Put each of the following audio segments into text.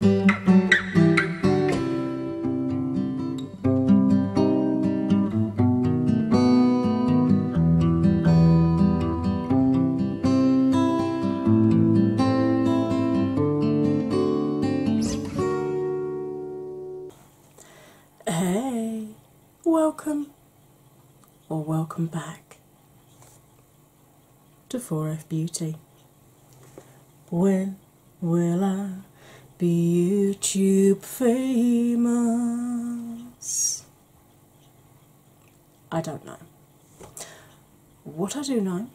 Hey, welcome or welcome back to 4F Beauty. When will I be YouTube famous? I don't know. What I do know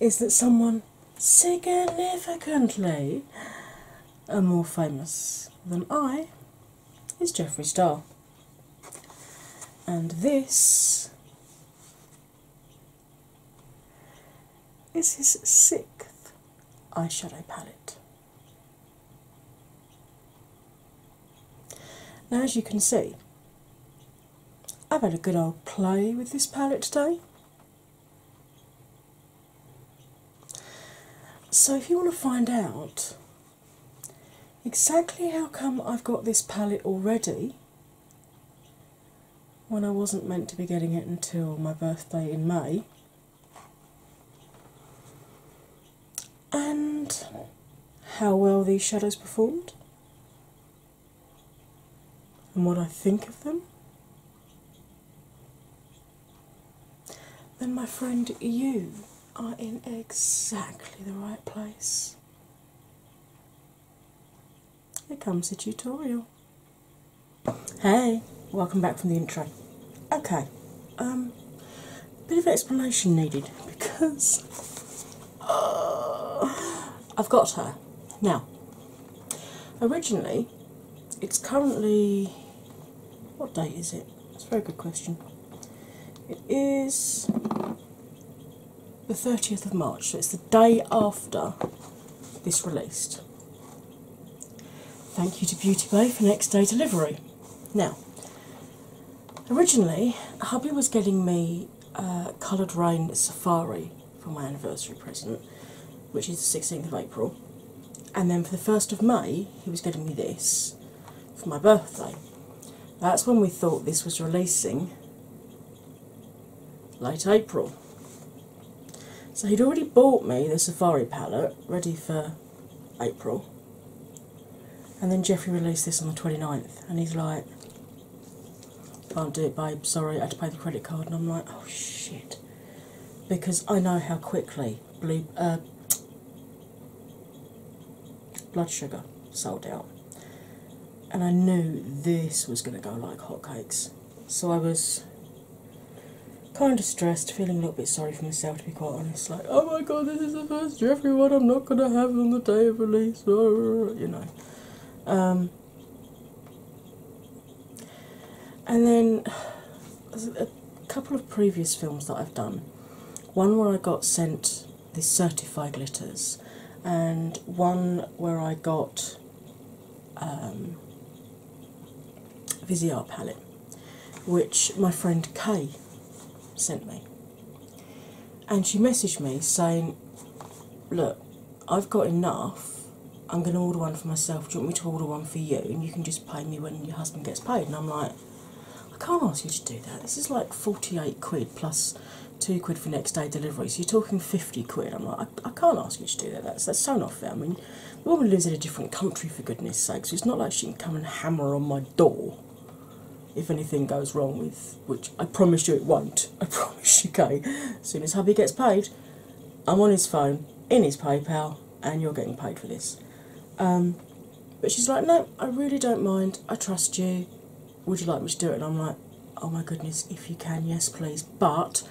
is that someone significantly and uh, more famous than I is Jeffree Star. And this this is sixth eyeshadow palette. Now, as you can see, I've had a good old play with this palette today. So, if you want to find out exactly how come I've got this palette already when I wasn't meant to be getting it until my birthday in May. And how well these shadows performed, and what I think of them. Then, my friend, you are in exactly the right place here comes the tutorial. Hey, welcome back from the intro. Okay, um, bit of explanation needed because uh, I've got her now. Originally, it's currently what date is it? It's a very good question. It is the 30th of March, so it's the day after this released. Thank you to Beauty Bay for next day delivery. Now, originally, hubby was getting me uh, Coloured Rain Safari for my anniversary present, which is the 16th of April, and then for the 1st of May, he was getting me this for my birthday. That's when we thought this was releasing late April. So he'd already bought me the Safari palette ready for April. And then Jeffrey released this on the 29th, and he's like, Can't do it, babe, sorry, I had to pay the credit card. And I'm like, Oh shit. Because I know how quickly uh, blood sugar sold out and I knew this was going to go like hotcakes. So I was kind of stressed, feeling a little bit sorry for myself to be quite honest. Like, oh my god, this is the first Jeffrey one I'm not going to have on the day of release, you know. Um, and then a couple of previous films that I've done. One where I got sent the certified glitters, and one where I got um, palette, which my friend Kay sent me. And she messaged me saying, Look, I've got enough. I'm going to order one for myself. Do you want me to order one for you? And you can just pay me when your husband gets paid. And I'm like, I can't ask you to do that. This is like 48 quid plus two quid for next day delivery. So you're talking 50 quid. I'm like, I, can't ask you to do that. That's, that's so not fair. I mean, the woman lives in a different country, for goodness sakes. it's not like she can come and hammer on my door if anything goes wrong with, which I promise you it won't. I promise you, Kay. As soon as hubby gets paid, I'm on his phone, in his PayPal, and you're getting paid for this. Um, but she's like, no, I really don't mind. I trust you would you like me to do it? I'm like, oh my goodness, if you can, yes, please. But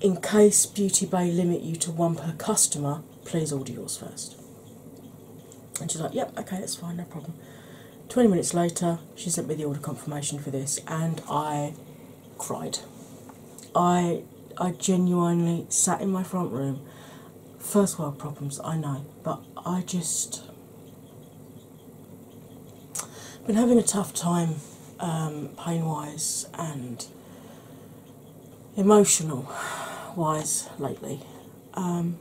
in case Beauty Bay limit you to one per customer, please order yours first. And she's like, yep, okay, it's fine, no problem. 20 minutes later, she sent me the order confirmation for this, and I cried. I I genuinely sat in my front room. First world problems, I know, but I just been having a tough time um, pain wise and emotional wise lately. Um,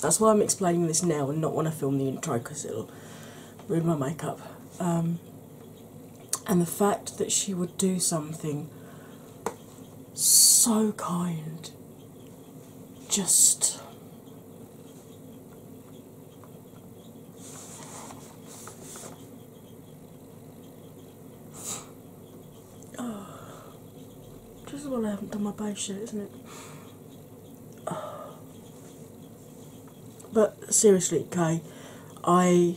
that's why I'm explaining this now and not want to film the intro because it'll ruin my makeup. Um, and the fact that she would do something so kind just oh, is when I haven't done my base yet, isn't it? But seriously, Kay, I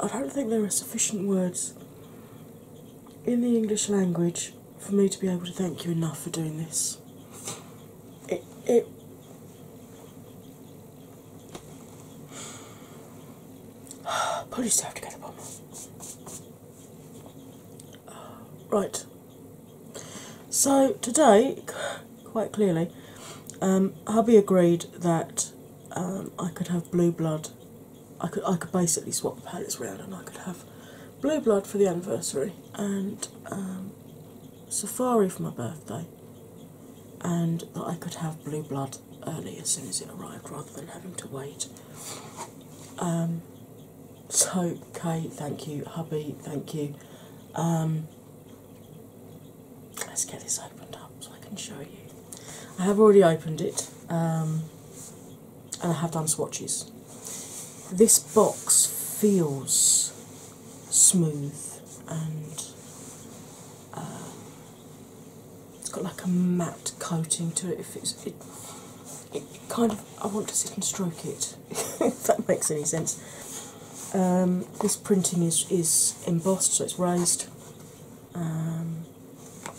I don't think there are sufficient words in the English language for me to be able to thank you enough for doing this. It, it probably still have to go to the Right. So today, quite clearly, um, hubby agreed that um, I could have blue blood I could I could basically swap the palettes around and I could have Blue Blood for the anniversary and um, Safari for my birthday, and that I could have Blue Blood early as soon as it arrived rather than having to wait. Um, so, Kate, thank you, hubby, thank you. Um, let's get this opened up so I can show you. I have already opened it. Um, and I have done swatches. This box feels smooth and uh, it's got like a matte coating to it. If it's, it, kind of I want to sit and stroke it. if that makes any sense. Um, this printing is is embossed, so it's raised, um,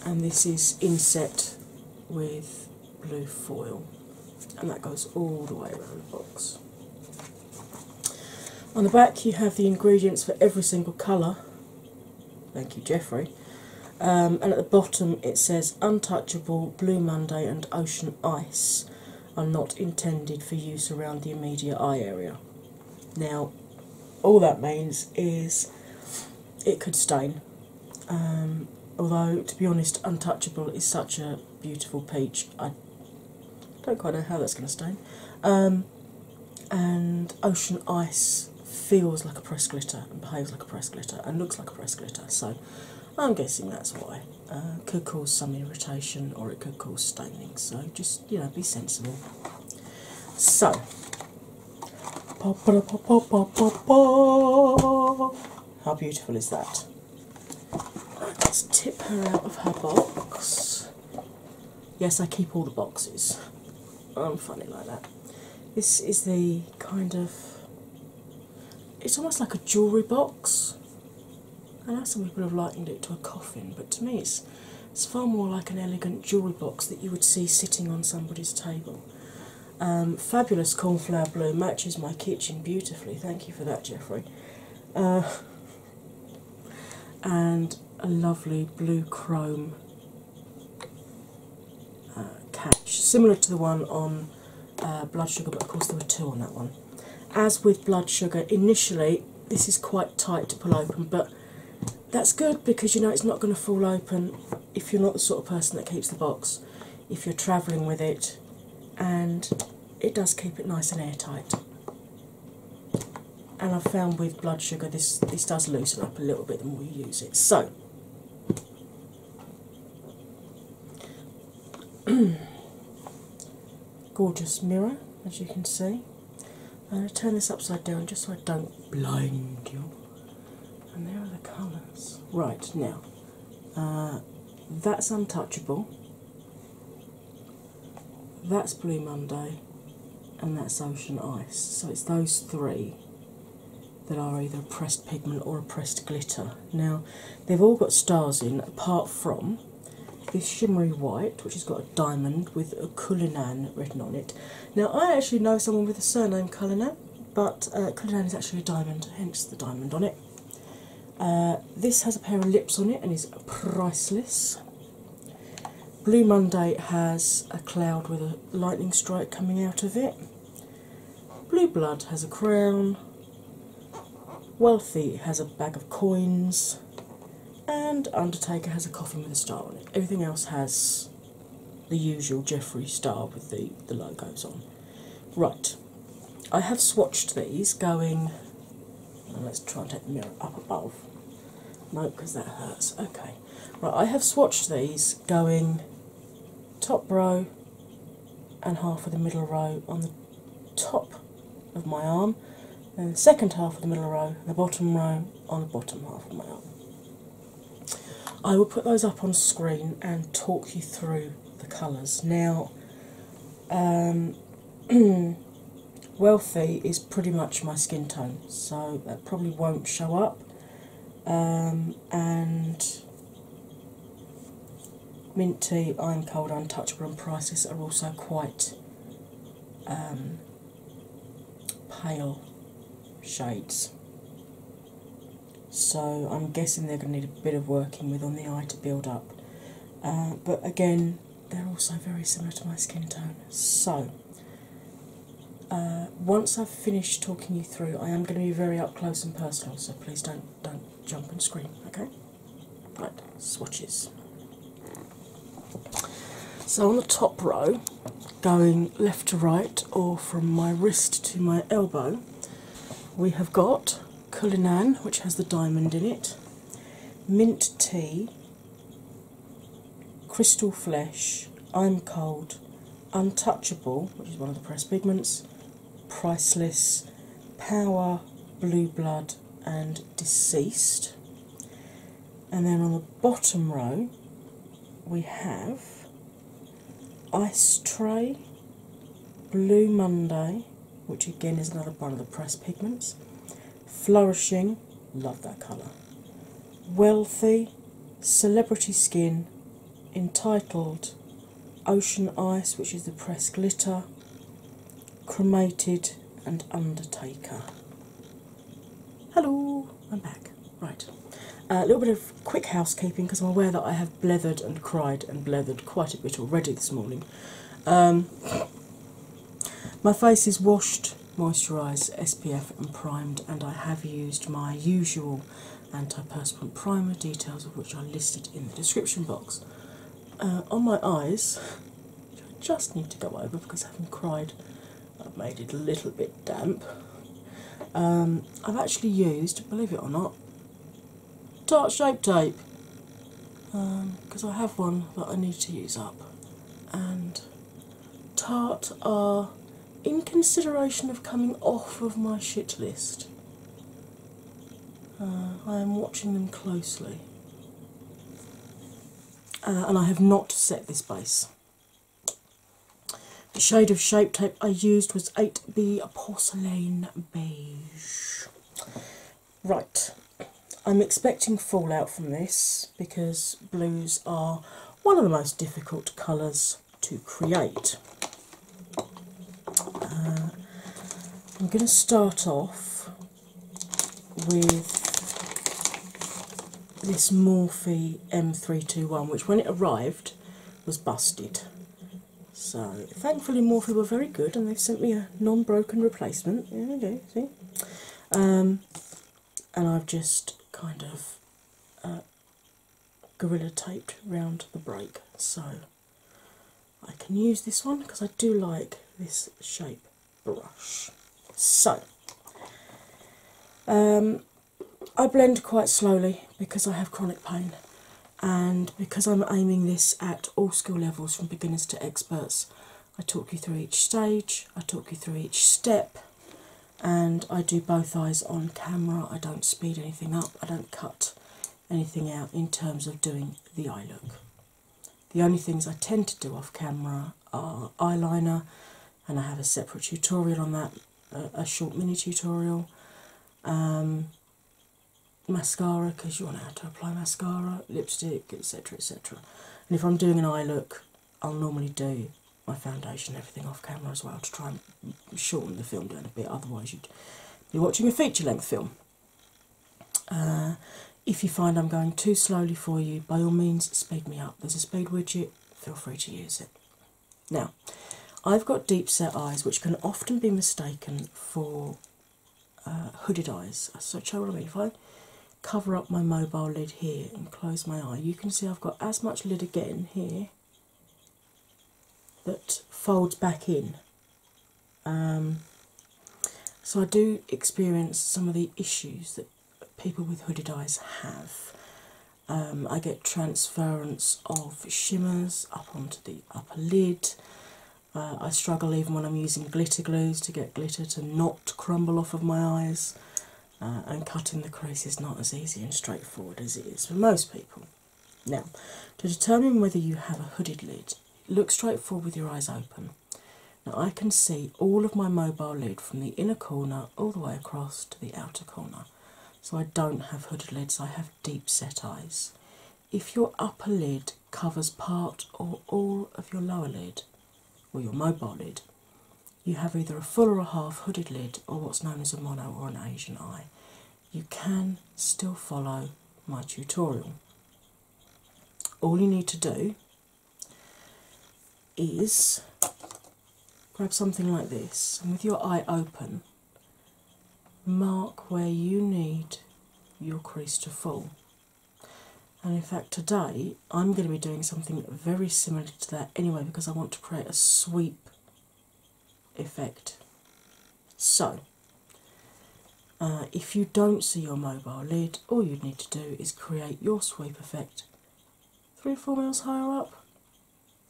and this is inset with blue foil, and that goes all the way around the box. On the back, you have the ingredients for every single colour. Thank you, Jeffrey. Um, and at the bottom, it says Untouchable, Blue Monday, and Ocean Ice are not intended for use around the immediate eye area. Now, all that means is it could stain um, although, to be honest, Untouchable is such a beautiful peach, I don't quite know how that's going to stain, um, and Ocean Ice feels like a press glitter and behaves like a press glitter and looks like a press glitter, so I'm guessing that's why. Uh, could cause some irritation or it could cause staining, so just you know be sensible. So how beautiful is that? Let's tip her out of her box. Yes, I keep all the boxes. I'm funny like that. This is the kind of. It's almost like a jewellery box. I know some people have likened it to a coffin, but to me it's, it's far more like an elegant jewellery box that you would see sitting on somebody's table. Um, fabulous cornflower blue matches my kitchen beautifully. Thank you for that, Jeffrey. Uh, and a lovely blue chrome uh, catch, similar to the one on uh, Blood Sugar, but of course there were two on that one. As with Blood Sugar, initially this is quite tight to pull open, but that's good because you know it's not going to fall open if you're not the sort of person that keeps the box, if you're travelling with it, and it does keep it nice and airtight. And I've found with blood sugar this this does loosen up a little bit the more you use it. So gorgeous mirror as you can see. I'm going to turn this upside down just so I don't blind you and there are the colours. Right now, uh, that's untouchable. That's Blue Monday, and that's Ocean Ice. So it's those three that are either a pressed pigment or a pressed glitter. Now, they've all got stars in, apart from this shimmery white, which has got a diamond with a Cullinan written on it. Now, I actually know someone with a surname Cullinan but uh, is actually a diamond, hence the diamond on it. Uh, this has a pair of lips on it and is priceless. Blue Monday has a cloud with a lightning strike coming out of it. Blue Blood has a crown. Wealthy has a bag of coins. And Undertaker has a coffin with a star on it. Everything else has the usual Jeffrey Star with the, the logos on. Right, I have swatched these going. Uh, let's try and take the mirror up above. No, because that hurts. Okay. Right, I have swatched these going top row and half of the middle row on the top of my arm, and the second half of the middle row, the bottom row on the bottom half of my arm. I will put those up on screen and talk you through the colours. Now, um, Wealthy is pretty much my skin tone, so that probably won't show up. Um, and Minty, Iron Cold, Untouchable, and Priceless are also quite um, pale shades so I'm guessing they're going to need a bit of working with on the eye to build up. Uh, but again, they're also very similar to my skin tone. So, uh, once I've finished talking you through, I am going to be very up close and personal. So please don't don't jump and scream. Okay? Right, swatches. So on the top row, going left to right, or from my wrist to my elbow, we have got Cullinan, which has the diamond in it, Mint Tea, Crystal Flesh, I'm Cold, Untouchable, which is one of the press pigments, Priceless, Power, Blue Blood, and Deceased. And then on the bottom row, we have Ice Tray, Blue Monday, which again is another one of the press pigments, Flourishing, love that colour, Wealthy, Celebrity Skin, Entitled, Ocean Ice, which is the press glitter, Cremated, and Undertaker. Hello, I'm back. Right, a little bit of quick housekeeping because I'm aware that I have blethered and cried and blethered quite a bit already this morning. Um, my face is washed, moisturised, SPF, and primed, and I have used my usual anti-perspirant primer, details of which are listed in the description box. Uh, on my eyes, I just need to go over because having cried, I've made it a little bit damp. Um, I've actually used, believe it or not, tart shape tape because um, I have one that I need to use up. And tart are in consideration of coming off of my shit list. Uh, I am watching them closely. Uh, and I have not set this base. The shade of Shape Tape I used was 8B Porcelain Beige. Right, I'm expecting fallout from this because blues are one of the most difficult colours to create. Uh, I'm going to start off with this Morphe M321, which when it arrived was busted. So thankfully Morphy were very good and they've sent me a non-broken replacement. Yeah, they do, see? Um, and I've just kind of uh, gorilla taped round the break so I can use this one because I do like this shape brush. So um, I blend quite slowly because I have chronic pain and because I'm aiming this at all skill levels from beginners to experts. I talk you through each stage, I talk you through each step, and I do both eyes on camera. I don't speed anything up, I don't cut anything out in terms of doing the eye look. The only things I tend to do off camera are eyeliner, and I have a separate tutorial on that, a, short mini tutorial. Um, mascara because you want to how to apply mascara, lipstick, etc. etc. And if I'm doing an eye look, I'll normally do my foundation and everything off camera as well to try and shorten the film down a bit, otherwise, you'd be watching a feature length film. Uh, if you find I'm going too slowly for you, by all means, speed me up. There's a speed widget, feel free to use it. Now, I've got deep set eyes which can often be mistaken for uh, hooded eyes. Uh, so, show what I mean. If I cover up my mobile lid here and close my eye, you can see I've got as much lid again here that folds back in. Um, so, I do experience some of the issues that people with hooded eyes have. Um, I get transference of shimmers up onto the upper lid. Uh, I struggle even when I'm using glitter glues to get glitter to not crumble off of my eyes, uh, and cutting the crease is not as easy and straightforward as it is for most people. Now, to determine whether you have a hooded lid, look straight forward with your eyes open. Now, I can see all of my mobile lid from the inner corner all the way across to the outer corner. So I don't have hooded lids, I have deep set eyes. If your upper lid covers part or all of your lower lid or your mobile lid, you have either a full or a half hooded lid or what's known as a mono or an Asian eye. You can still follow my tutorial. All you need to do is grab something like this and with your eye open, mark where you need your crease to fall. And in fact, today I'm going to be doing something very similar to that anyway because I want to create a sweep effect. So, uh, if you don't see your mobile lid, all you need to do is create your sweep effect three or four mils higher up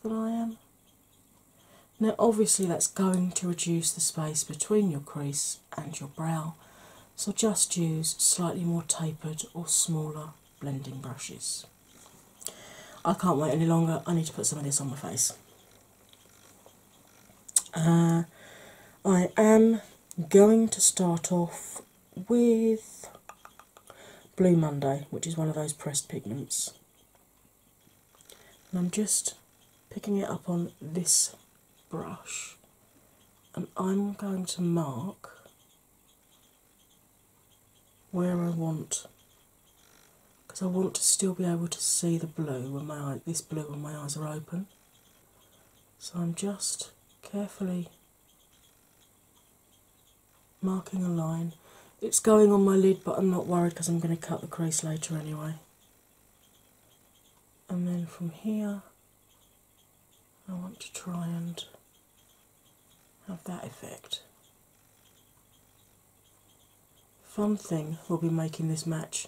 than I am. Now, obviously, that's going to reduce the space between your crease and your brow, so just use slightly more tapered or smaller blending brushes. I can't wait any longer, I need to put some of this on my face. Uh, I am going to start off with Blue Monday, which is one of those pressed pigments and I'm just picking it up on this brush, and I'm going to mark where I want because I want to still be able to see the blue when my this blue when my eyes are open. So I'm just carefully marking a line. It's going on my lid, but I'm not worried because I'm going to cut the crease later anyway. And then from here, I want to try and have that effect. Fun thing we will be making this match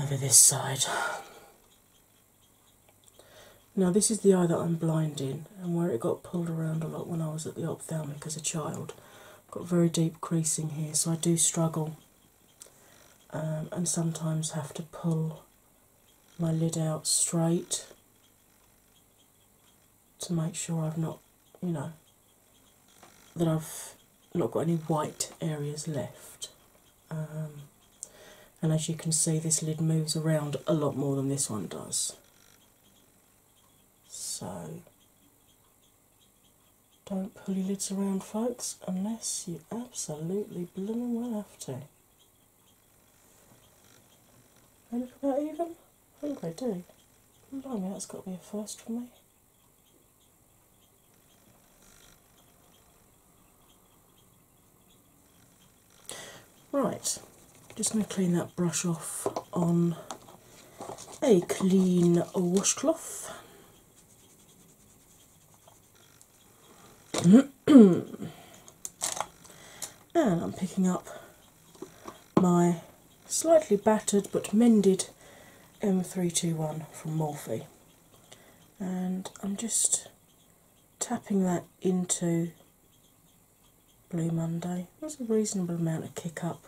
over this side. Now, this is the eye that I'm blind in, and where it got pulled around a lot when I was at the ophthalmic as a child. got very deep creasing here, so I do struggle um, and sometimes have to pull my lid out straight to make sure I've not, you know, that I've not got any white areas left. Um, and as you can see, this lid moves around a lot more than this one does. So don't pull your lids around, folks, unless you absolutely blooming well have to. They look about even? I think they do. Blimey, that's got to be a first for me. Right, just going to clean that brush off on a clean washcloth. and I'm picking up my slightly battered but mended M321 from Morphy, and I'm just tapping that into Blue Monday. There's a reasonable amount of kick up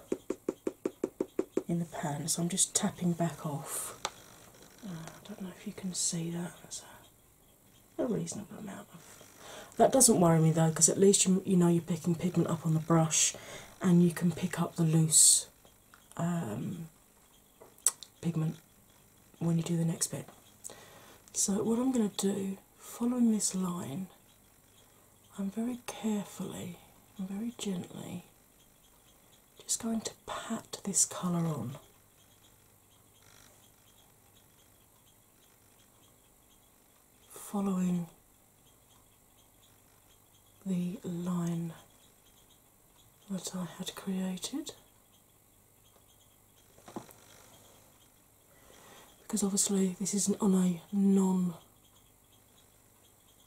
in the pan, so I'm just tapping back off. Uh, I don't know if you can see that. That's a, reasonable amount of. That doesn't worry me though, because at least you, you know you're picking pigment up on the brush, and you can pick up the loose um, pigment when you do the next bit. So what I'm going to do, following this line, I'm very carefully and very gently just going to pat this colour on. Following the line that I had created, because obviously this is on a non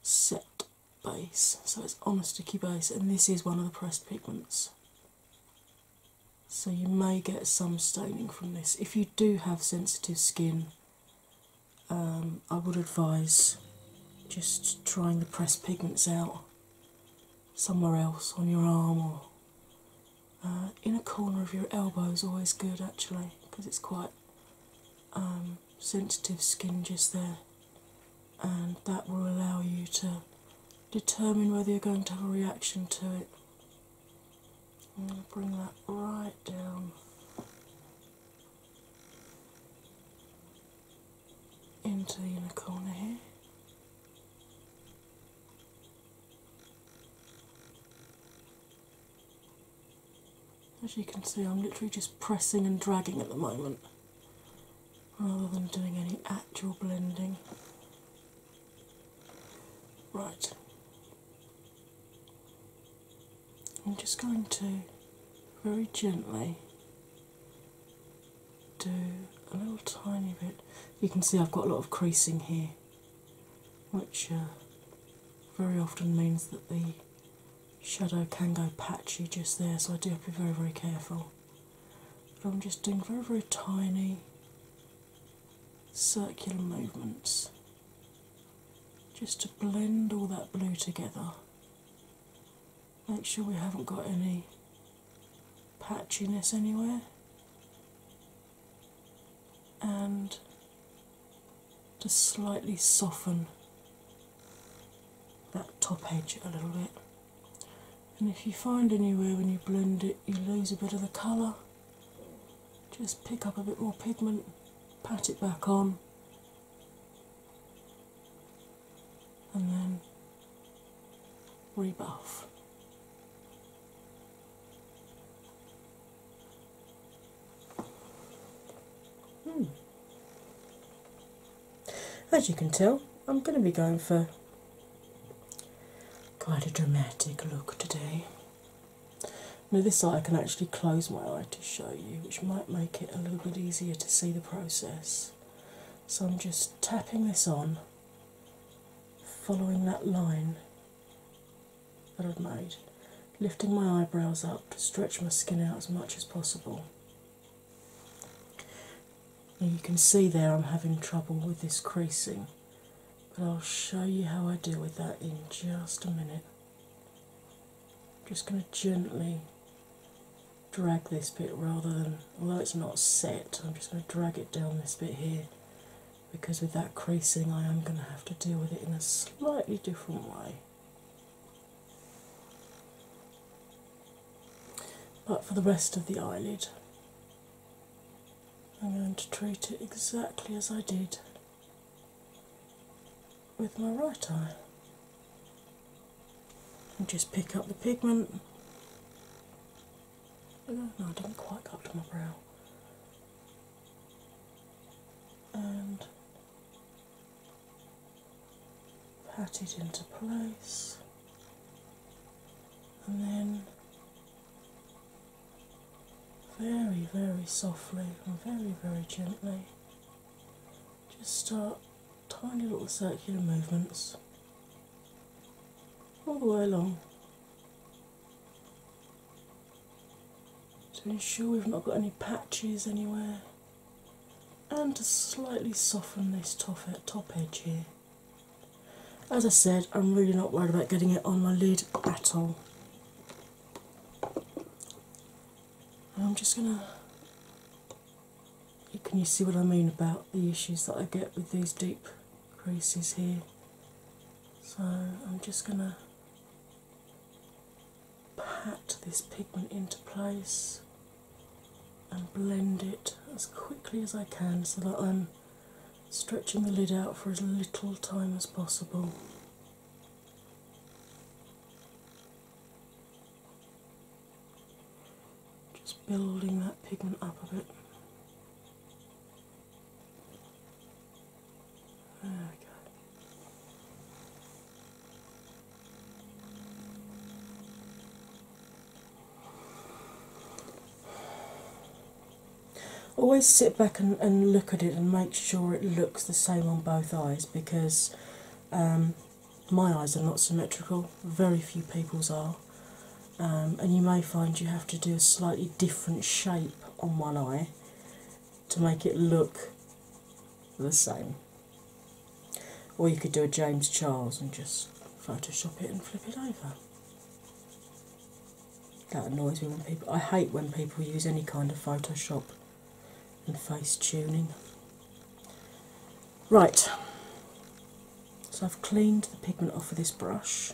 set base, so it's on a sticky base, and this is one of the pressed pigments. So you may get some staining from this. If you do have sensitive skin, um, I would advise just trying the pressed pigments out somewhere else on your arm uh, inner corner of your elbow is always good actually because it's quite um, sensitive skin just there, and that will allow you to determine whether you're going to have a reaction to it. I'm going to bring that right down. Into the inner corner here, as you can see, I'm literally just pressing and dragging at the moment rather than doing any actual blending. Right, I'm just going to very gently do a little tiny bit. You can see I've got a lot of creasing here which uh, very often means that the shadow can go patchy just there, so I do have to be very, very careful. I'm just doing very, very tiny circular movements just to blend all that blue together. Make sure we haven't got any patchiness anywhere and just slightly soften that top edge a little bit. And if you find anywhere when you blend it you lose a bit of the colour, just pick up a bit more pigment, pat it back on, and then rebuff. Hmm. As you can tell, I'm going to be going for quite a dramatic look today. Now, this side I can actually close my eye to show you, which might make it a little bit easier to see the process. So, I'm just tapping this on, following that line that I've made, lifting my eyebrows up to stretch my skin out as much as possible. Now you can see there I'm having trouble with this creasing, but I'll show you how I deal with that in just a minute. I'm just going to gently drag this bit rather than, although it's not set, I'm just going to drag it down this bit here because with that creasing, I am going to have to deal with it in a slightly different way. But for the rest of the eyelid, I'm going to treat it exactly as I did with my right eye. And just pick up the pigment no, I didn't quite go up to my brow. And pat it into place, and then very, very softly and very, very gently just start tiny little circular movements all the way along to ensure we've not got any patches anywhere and to slightly soften this top, edge here. As I said, I'm really not worried about getting it on my lid at all. I'm just gonna. Can you see what I mean about the issues that I get with these deep creases here. So I'm just going to pat this pigment into place and blend it as quickly as I can so that I'm stretching the lid out for as little time as possible. Just building that pigment up a bit. Oh, Always sit back and, and look at it and make sure it looks the same on both eyes because um, my eyes are not symmetrical, very few people's are, um, and you may find you have to do a slightly different shape on one eye to make it look the same. Or you could do a James Charles and just Photoshop it and flip it over. That annoys me when people. I hate when people use any kind of Photoshop and face tuning. Right, so I've cleaned the pigment off of this brush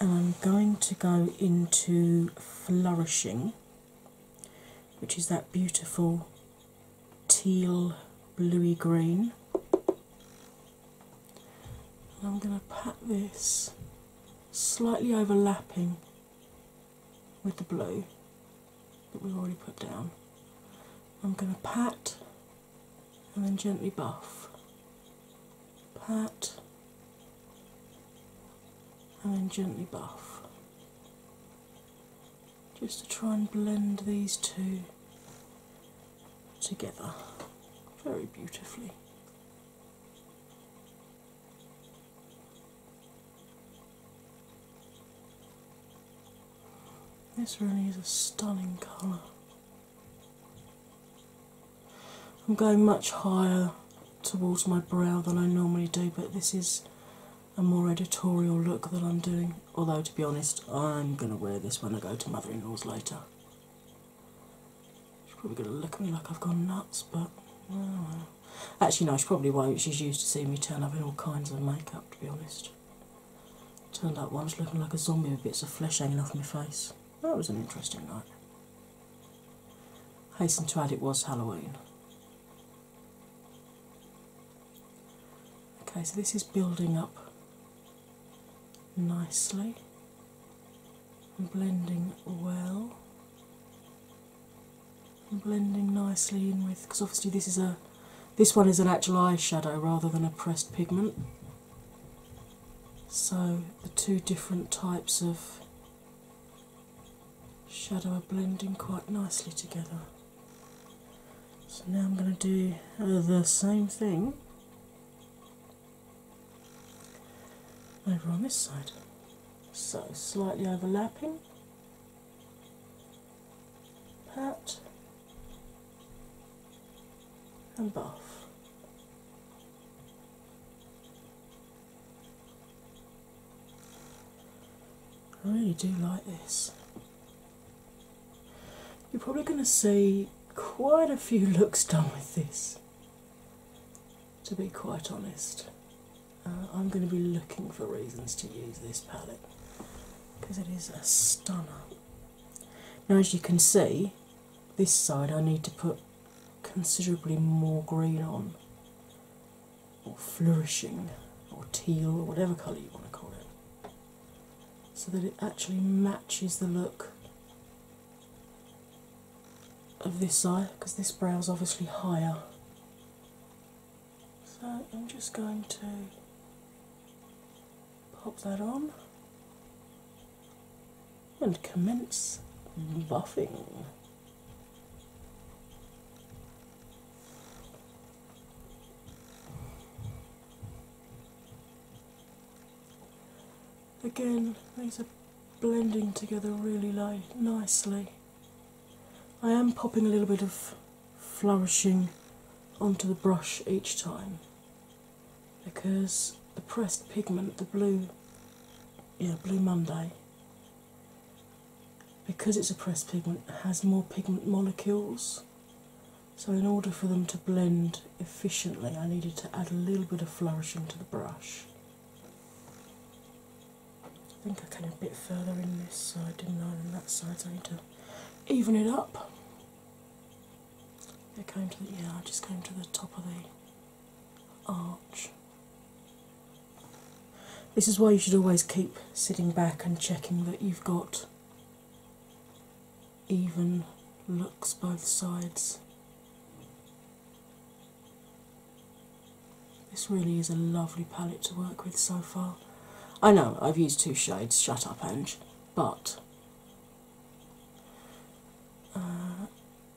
and I'm going to go into Flourishing, which is that beautiful teal bluey green. And I'm going to pat this slightly overlapping with the blue that we've already put down. I'm going to pat and then gently buff. Pat and then gently buff just to try and blend these two together very beautifully. This really is a stunning colour. I'm going much higher towards my brow than I normally do, but this is a more editorial look that I'm doing. Although, to be honest, I'm going to wear this when I go to mother in law's later. She's probably going to look at me like I've gone nuts, but. Uh, actually, no, she probably won't. She's used to seeing me turn up in all kinds of makeup, to be honest. Turned up once looking like a zombie with bits of flesh hanging off my face. That was an interesting night. Hasten to add, it was Halloween. Okay, so this is building up nicely and blending well. blending nicely in with because obviously this is a this one is an actual eyeshadow rather than a pressed pigment. So, the two different types of shadow are blending quite nicely together. So, now I'm going to do uh, the same thing over on this side. So, slightly overlapping, pat and buff. I really do like this. You're probably going to see quite a few looks done with this, to be quite honest. Uh, I'm going to be looking for reasons to use this palette because it is a stunner. Now, as you can see, this side I need to put considerably more green on, or flourishing, or teal, or whatever colour you want to call it, so that it actually matches the look of this eye because this brow is obviously higher. So I'm just going to pop that on and commence buffing. Again, these are blending together really nicely. I am popping a little bit of flourishing onto the brush each time because the pressed pigment, the blue, yeah, Blue Monday, because it's a pressed pigment, has more pigment molecules. So, in order for them to blend efficiently, I needed to add a little bit of flourishing to the brush. I think I came a bit further in this side, didn't I? on that side, so I need to even it up. I came to the yeah, I just came to the top of the arch. This is why you should always keep sitting back and checking that you've got even looks both sides. This really is a lovely palette to work with so far. I know I've used two shades, shut up, Ange, but uh,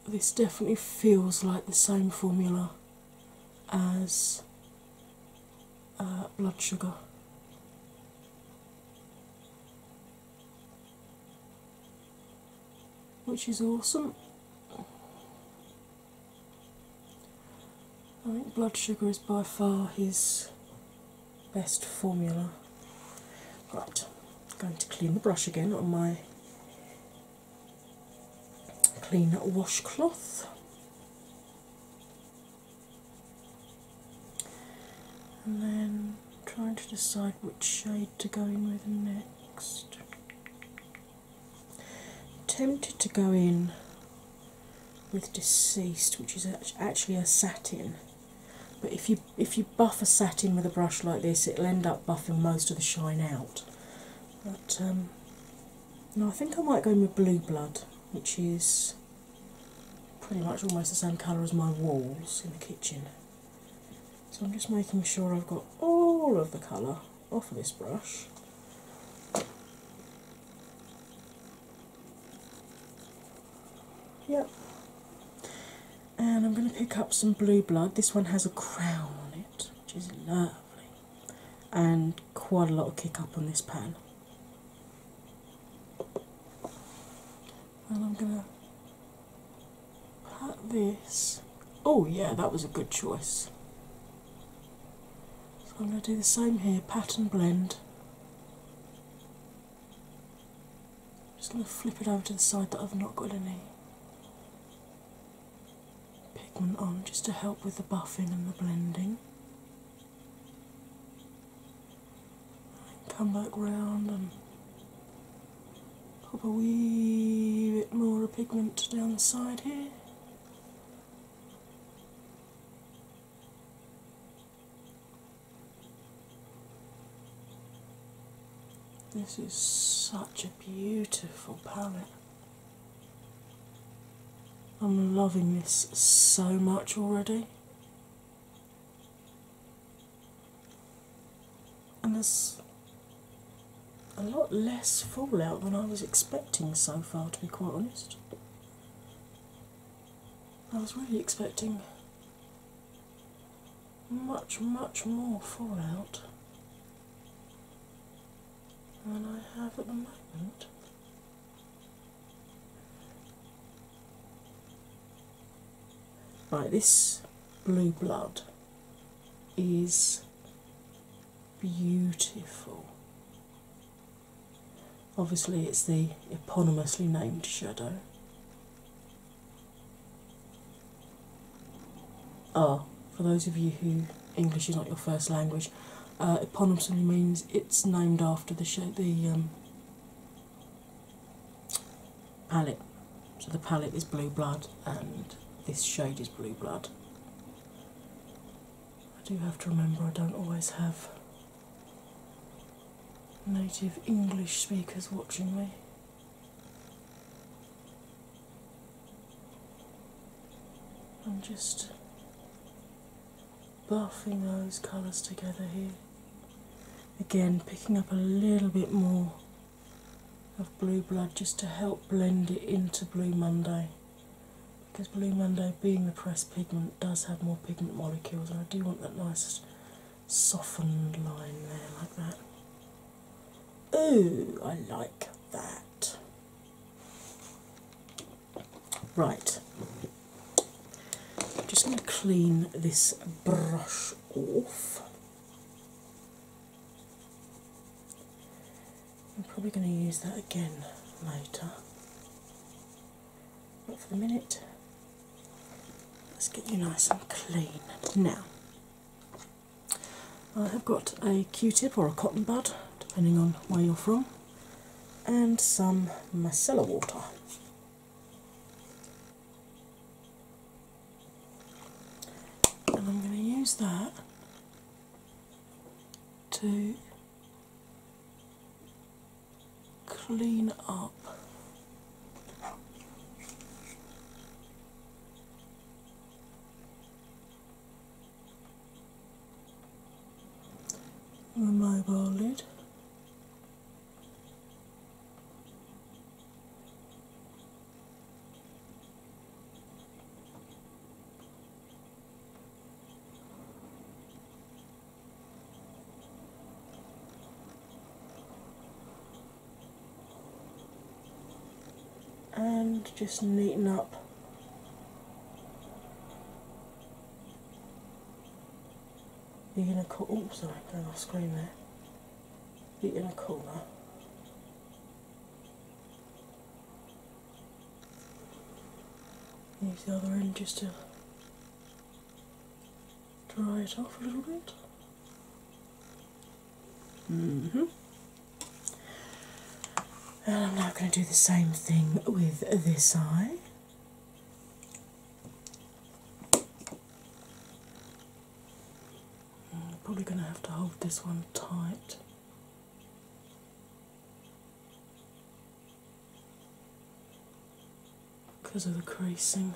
this definitely feels like the same formula as uh, blood sugar. Which is awesome. I think blood sugar is by far his best formula. Right, I'm going to clean the brush again on my clean washcloth. And then trying to decide which shade to go in with next. Tempted to go in with Deceased, which is actually a satin but if you if you buff a satin with a brush like this, it'll end up buffing most of the shine out. But um, I think I might go with Blue Blood, which is pretty much almost the same colour as my walls in the kitchen. So I'm just making sure I've got all of the colour off of this brush. Yep, and I'm going to pick up some blue blood. This one has a crown on it, which is lovely, and quite a lot of kick up on this pen. And I'm going to pat this. Oh, yeah, that was a good choice. So I'm going to do the same here, pat and blend just going to flip it over to the side that I've not got any pigment on just to help with the buffing and the blending. come back round and pop a wee bit more pigment down the side here. This is such a beautiful palette. I'm loving this so much already. And there's a lot less fallout than I was expecting so far, to be quite honest. I was really expecting much, much more fallout than I have at the moment. Right, this blue blood is beautiful. Obviously, it's the eponymously named shadow are, ah, for those of you who English is not your first language, uh, eponymous means it's named after the shape, the um, palette. So the palette is blue blood, and this shade is blue blood. I do have to remember I don't always have native English speakers watching me. I'm just buffing those colours together here. Again, picking up a little bit more of Blue Blood just to help blend it into Blue Monday. Because Blue Monday, being the pressed pigment, does have more pigment molecules, and I do want that nice softened line there like that. Ooh, I like that. Right, I'm just going to clean this brush off. I'm probably going to use that again later. not for the minute, Let's get you nice and clean. Now, I have got a q tip or a cotton bud, depending on where you're from, and some macella water. And I'm going to use that to clean up a mobile lid and just neaten up the inner corner. Oh, sorry, I'm off screen there. The inner corner. Use the other end just to dry it off a little bit. -hmm. And I'm now going to do the same thing with this eye. I'm probably going to have to hold this one tight. Because of the creasing.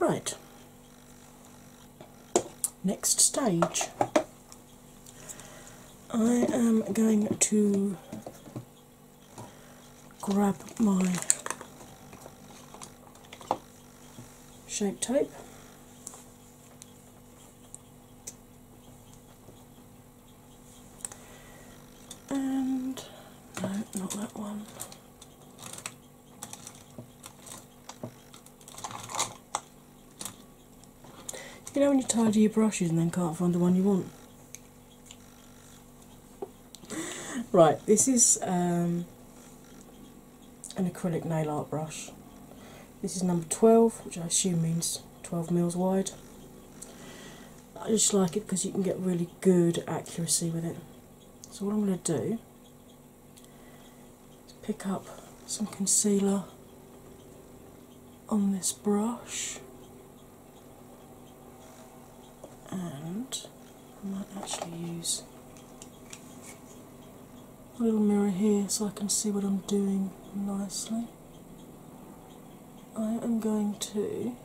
Right, next stage. I am going to grab my shape tape. And no, not that one. You know when you tidy your brushes and then can't find the one you want? Right, this is um, an acrylic nail art brush. This is number 12, which I assume means 12 mils wide. I just like it because you can get really good accuracy with it. So, what I'm going to do is pick up some concealer on this brush and I might actually use a little mirror here so I can see what I'm doing nicely. I am going to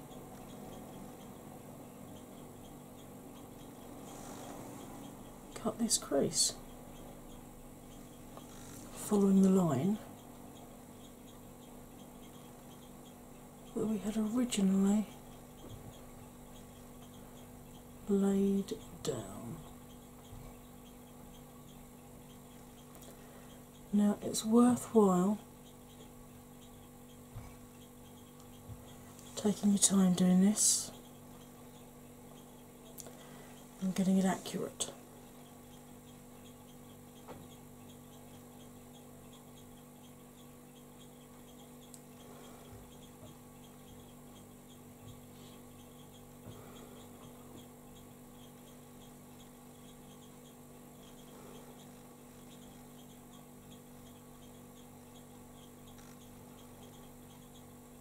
cut this crease following the line that we had originally laid down. Now it's worthwhile taking your time doing this and getting it accurate.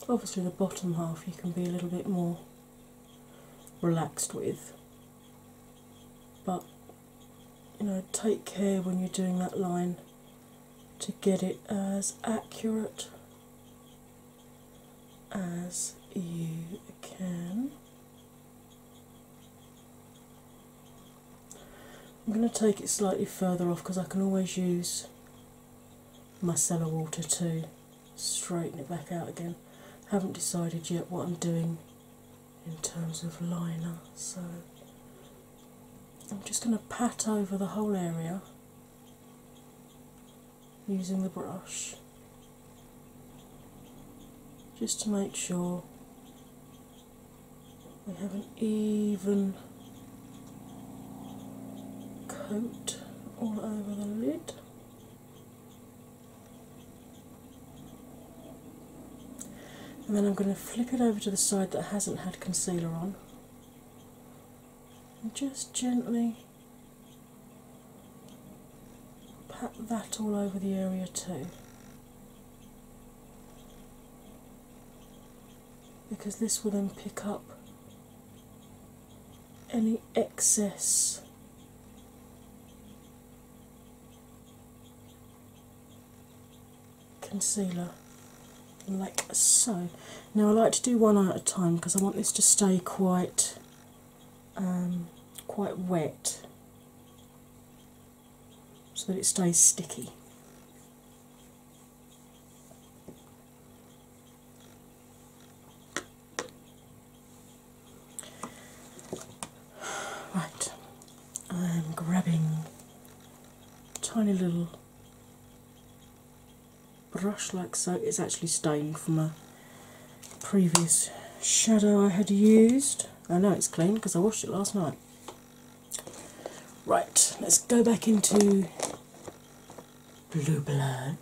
Obviously, the bottom half you can be a little bit more relaxed with, but you know, take care when you're doing that line to get it as accurate as you can. I'm going to take it slightly further off because I can always use my micellar water to straighten it back out again. Haven't decided yet what I'm doing in terms of liner. So I'm just going to pat over the whole area using the brush just to make sure we have an even coat all over the lid. And then I'm going to flip it over to the side that hasn't had concealer on and just gently pat that all over the area too. Because this will then pick up any excess concealer like so. Now I like to do one at a time because I want this to stay quite um, quite wet so that it stays sticky. Right, I'm grabbing a tiny little brush like so. It's actually stained from a previous shadow I had used. I know it's clean because I washed it last night. Right, let's go back into Blue Blood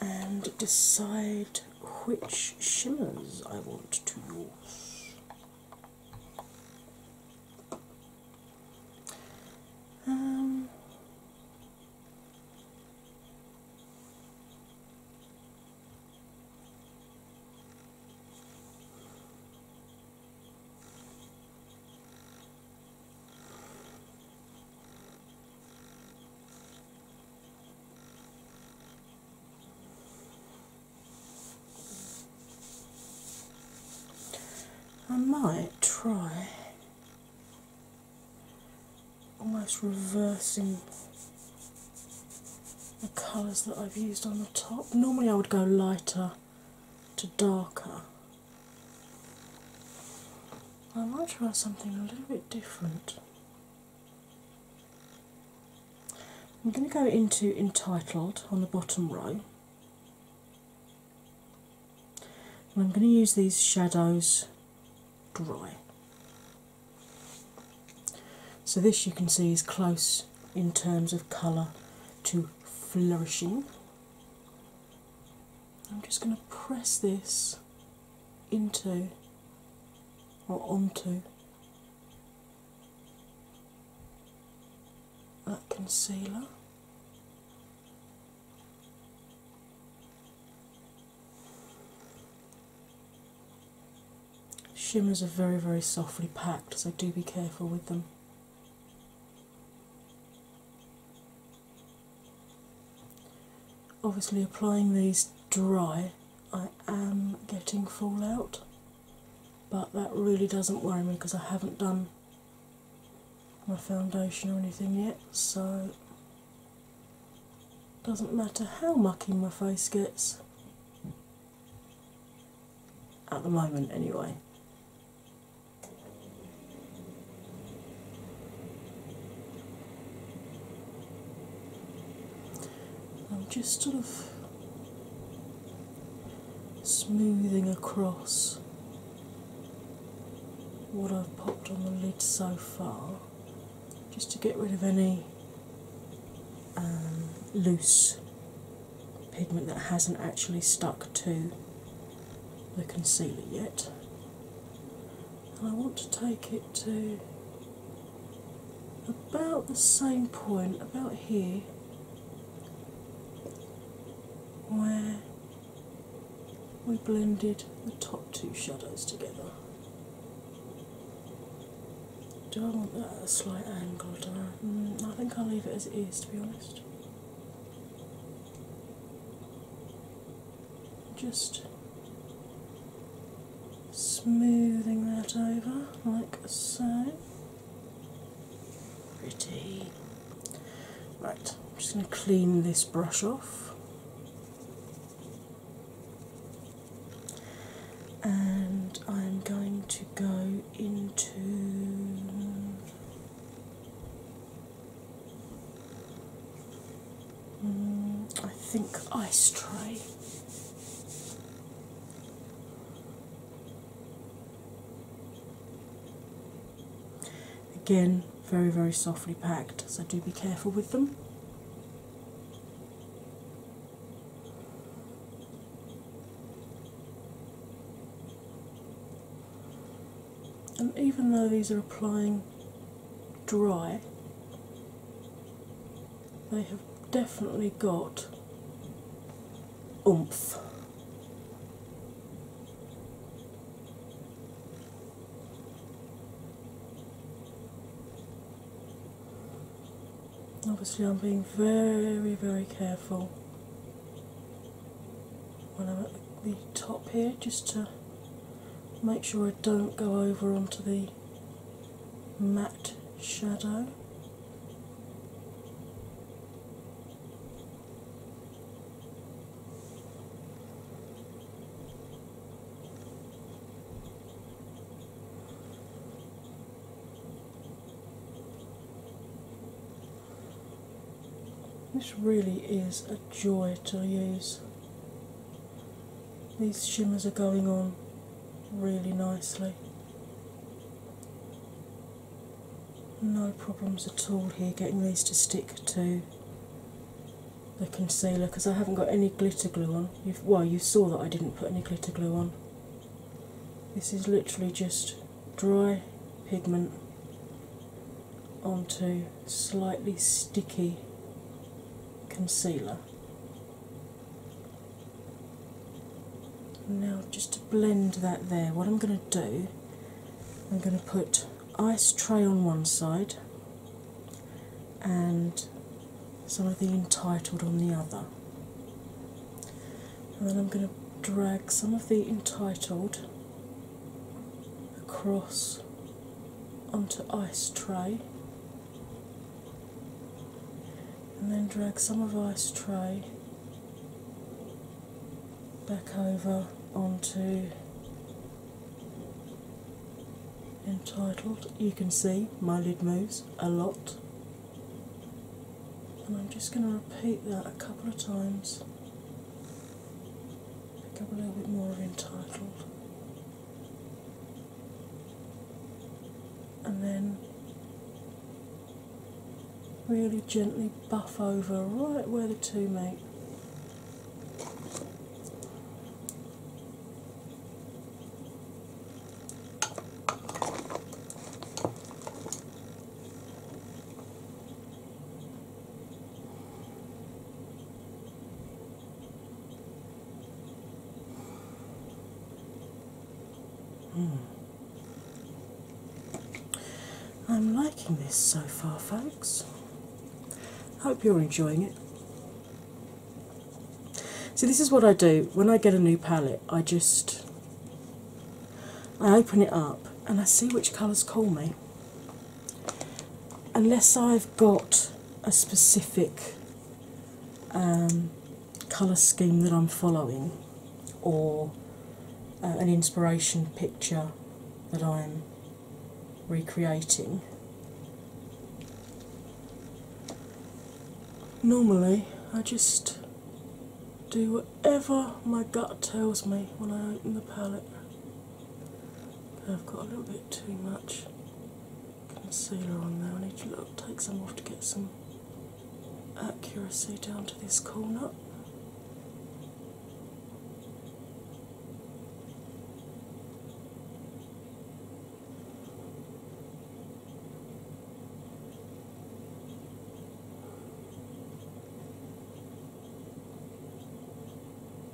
and decide which shimmers I want to use. Um, I might try almost reversing the colours that I've used on the top. Normally, I would go lighter to darker. I might try something a little bit different. I'm going to go into Entitled on the bottom row. I'm going to use these shadows dry. So, this you can see is close in terms of colour to flourishing. I'm just going to press this into or onto that concealer. Shimmers are very, very softly packed, so do be careful with them. Obviously, applying these dry, I am getting fallout, but that really doesn't worry me because I haven't done my foundation or anything yet, so doesn't matter how mucky my face gets at the moment, anyway. I'm just sort of smoothing across what I've popped on the lid so far, just to get rid of any um, loose pigment that hasn't actually stuck to the concealer yet and I want to take it to about the same point, about here, where we blended the top two shadows together. Do I want that a slight angle? Do I? Mm, I think I'll leave it as it is, to be honest just smoothing that over like so. Pretty. Right, I'm just going to clean this brush off. And I'm going to go into Mm, I think ice tray. Again, very, very softly packed, so do be careful with them. And even though these are applying dry, they have definitely got oomph. Obviously, I'm being very, very careful when I'm at the top here just to make sure I don't go over onto the the matte shadow. This really is a joy to use. These shimmers are going on really nicely. No problems at all here getting these to stick to the concealer because I haven't got any glitter glue on. well, you saw that I didn't put any glitter glue on. This is literally just dry pigment onto slightly sticky concealer. Now, just to blend that there, what I'm going to do, I'm going to put ice tray on one side and some of the entitled on the other. And then I'm going to drag some of the entitled across onto ice tray and then drag some of ice tray back over onto entitled. You can see my lid moves a lot, and I'm just going to repeat that a couple of times. Pick up a little bit more of entitled and then really gently buff over right where the two meet. Mm. I'm liking this so far, folks. Hope you're enjoying it. So this is what I do when I get a new palette. I just I open it up and I see which colours call me unless I've got a specific um, colour scheme that I'm following or uh, an inspiration picture that I'm recreating. Normally, I just do whatever my gut tells me when I open the palette. I've got a little bit too much concealer on there. I need to take some off to get some accuracy down to this corner.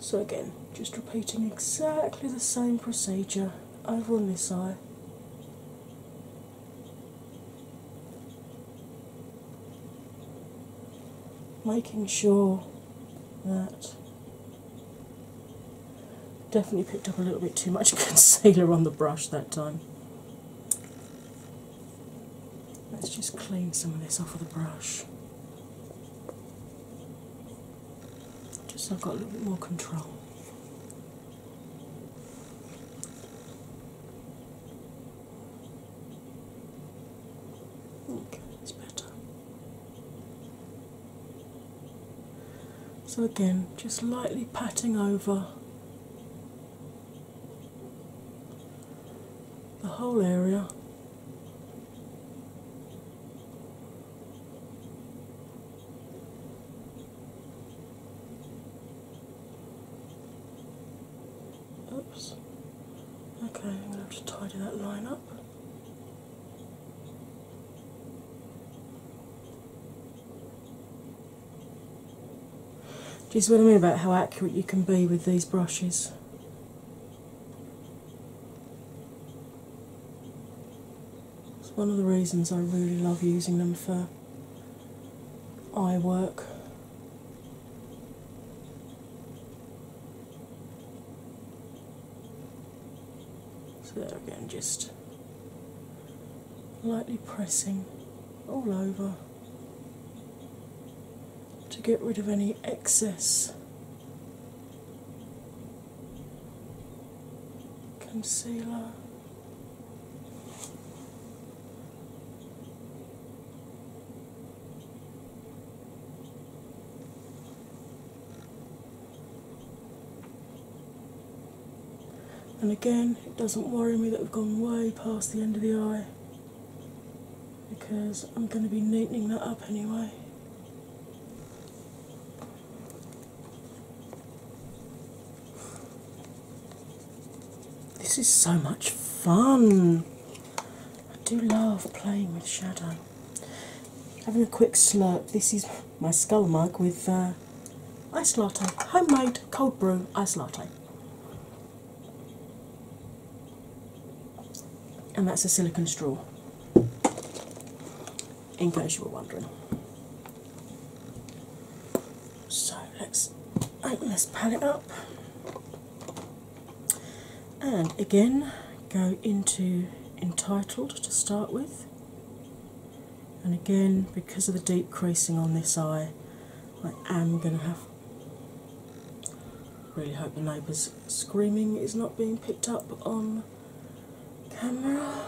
So, again, just repeating exactly the same procedure over on this eye. Making sure that definitely picked up a little bit too much concealer on the brush that time. Let's just clean some of this off of the brush. Just so I've got a little bit more control. Okay, that's better. So, again, just lightly patting over the whole area. Oops. Okay, I'm going to have to tidy that line up. Do you see what I mean about how accurate you can be with these brushes? It's one of the reasons I really love using them for eye work. So there again, just lightly pressing all over to get rid of any excess concealer. And again, it doesn't worry me that we've gone way past the end of the eye because I'm going to be neatening that up anyway. This is so much fun. I do love playing with shadow. Having a quick slurp, this is my skull mug with uh, ice latte, homemade cold brew ice latte and that's a silicone straw, in case you were wondering. So let's open this palette up and again go into Entitled to start with, and again, because of the deep creasing on this eye, I am going to have Really hope the neighbour's screaming is not being picked up on camera.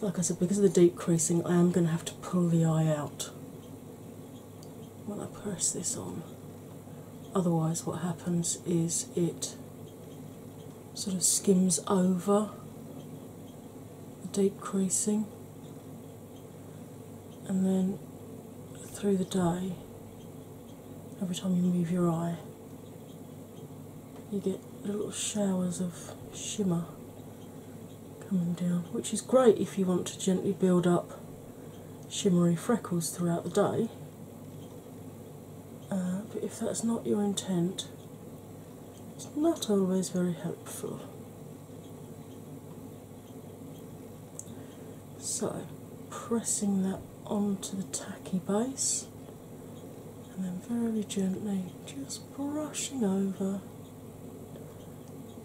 like I said, because of the deep creasing, I am going to have to pull the eye out when I press this on. Otherwise, what happens is it sort of skims over the deep creasing and then through the day, every time you move your eye, you get little showers of shimmer coming down, which is great if you want to gently build up shimmery freckles throughout the day. Uh, but if that's not your intent, it's not always very helpful. So, pressing that onto the tacky base, and then very gently just brushing over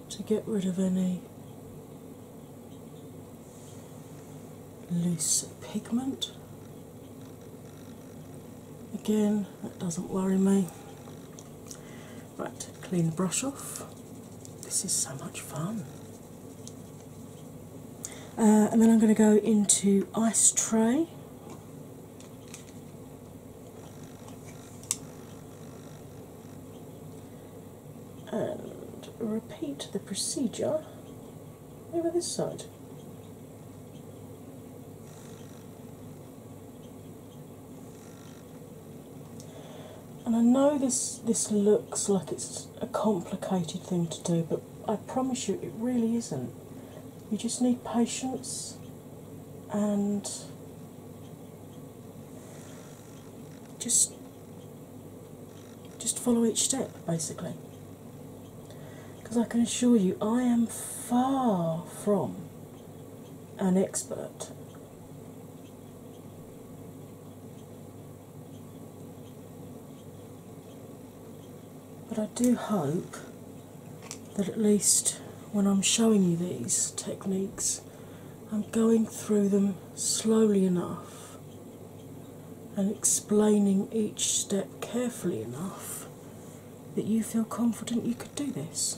to get rid of any loose pigment. Again, that doesn't worry me. Right, clean the brush off. This is so much fun. Uh, and then I'm going to go into Ice Tray. And repeat the procedure over this side. And I know this this looks like it's a complicated thing to do, but I promise you it really isn't. You just need patience and just just follow each step basically. Because I can assure you I am far from an expert but I do hope that at least when I'm showing you these techniques, I'm going through them slowly enough and explaining each step carefully enough that you feel confident you could do this.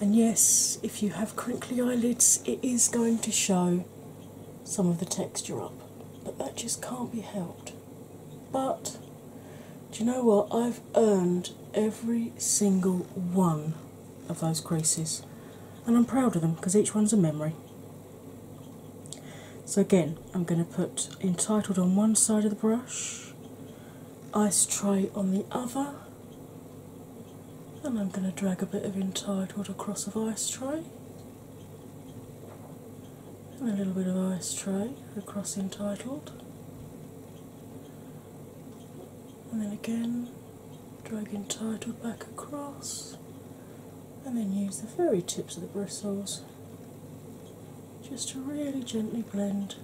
And yes, if you have crinkly eyelids, it is going to show some of the texture up, but that just can't be helped. But do you know what? I've earned every single one of those creases, and I'm proud of them because each one's a memory. So, again, I'm going to put Entitled on one side of the brush, Ice Tray on the other, and I'm going to drag a bit of Entitled across of Ice Tray, and a little bit of Ice Tray across Entitled, and then again drag Entitled back across, and then use the very tips of the bristles just to really gently blend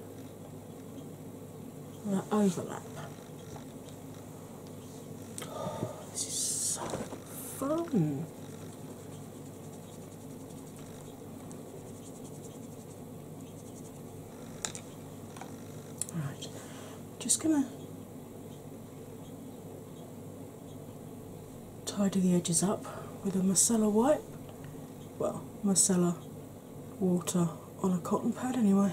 that overlap. Oh, this is so fun. Right, just gonna tidy the edges up with a micellar wipe. Well, micellar water on a cotton pad, anyway.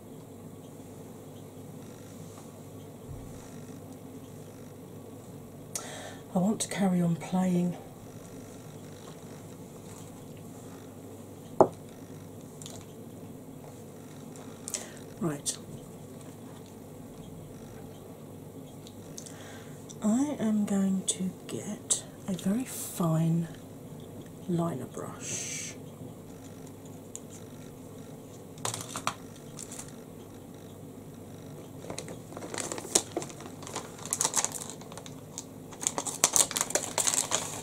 I want to carry on playing. Right. I am going to get a very fine liner brush.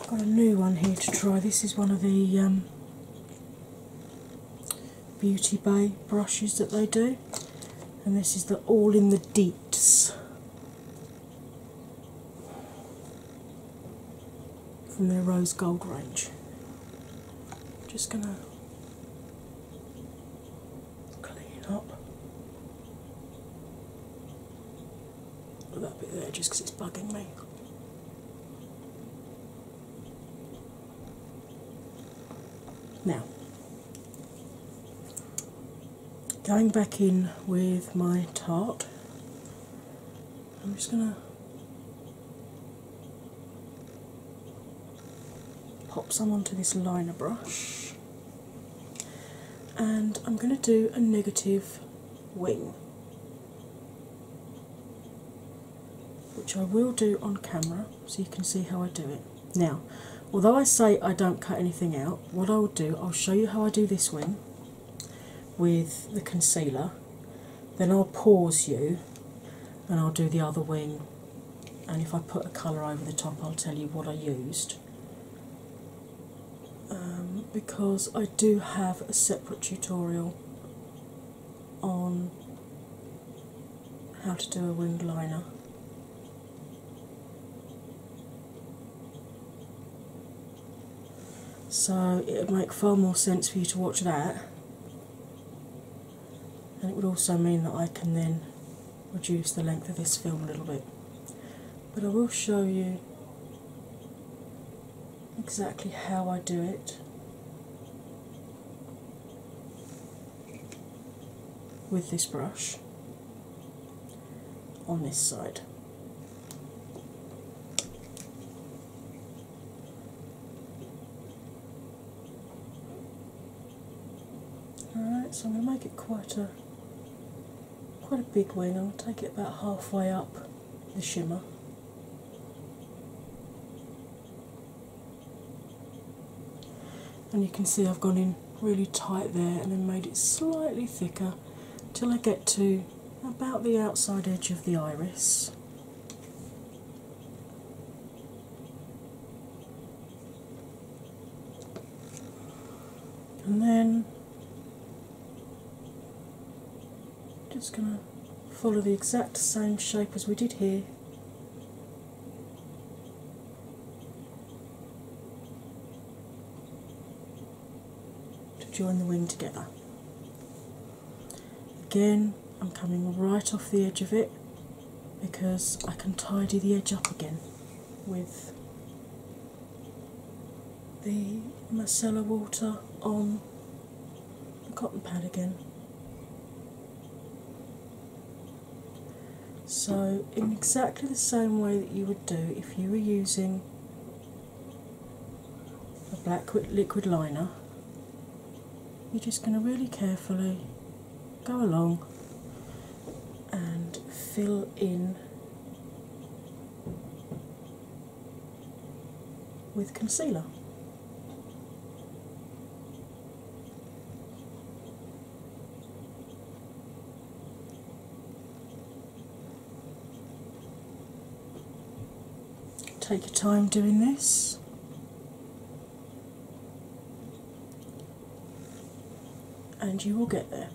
Got a new one here to try. This is one of the um, Beauty Bay brushes that they do, and this is the All in the Deeps from their rose gold range. Just gonna clean up that bit there just because it's bugging me. Now, going back in with my tart I'm just going to pop some onto this liner brush and I'm going to do a negative wing, which I will do on camera so you can see how I do it. Now, although I say I don't cut anything out, what I will do, I'll show you how I do this wing with the concealer then I'll pause you and I'll do the other wing. And if I put a colour over the top, I'll tell you what I used. Um, because I do have a separate tutorial on how to do a winged liner. So it would make far more sense for you to watch that and it would also mean that I can then reduce the length of this film a little bit. But I will show you exactly how I do it with this brush on this side. Alright, so I'm going to make it quite a quite a big wing. I'll take it about halfway up the shimmer. And you can see I've gone in really tight there and then made it slightly thicker till I get to about the outside edge of the iris. And then just going to follow the exact same shape as we did here. to join the wing together. Again, I'm coming right off the edge of it because I can tidy the edge up again with the Marcella water on the cotton pad again. So, in exactly the same way that you would do if you were using a black liquid liner, you're just going to really carefully go along and fill in with concealer. Take your time doing this. And you will get there.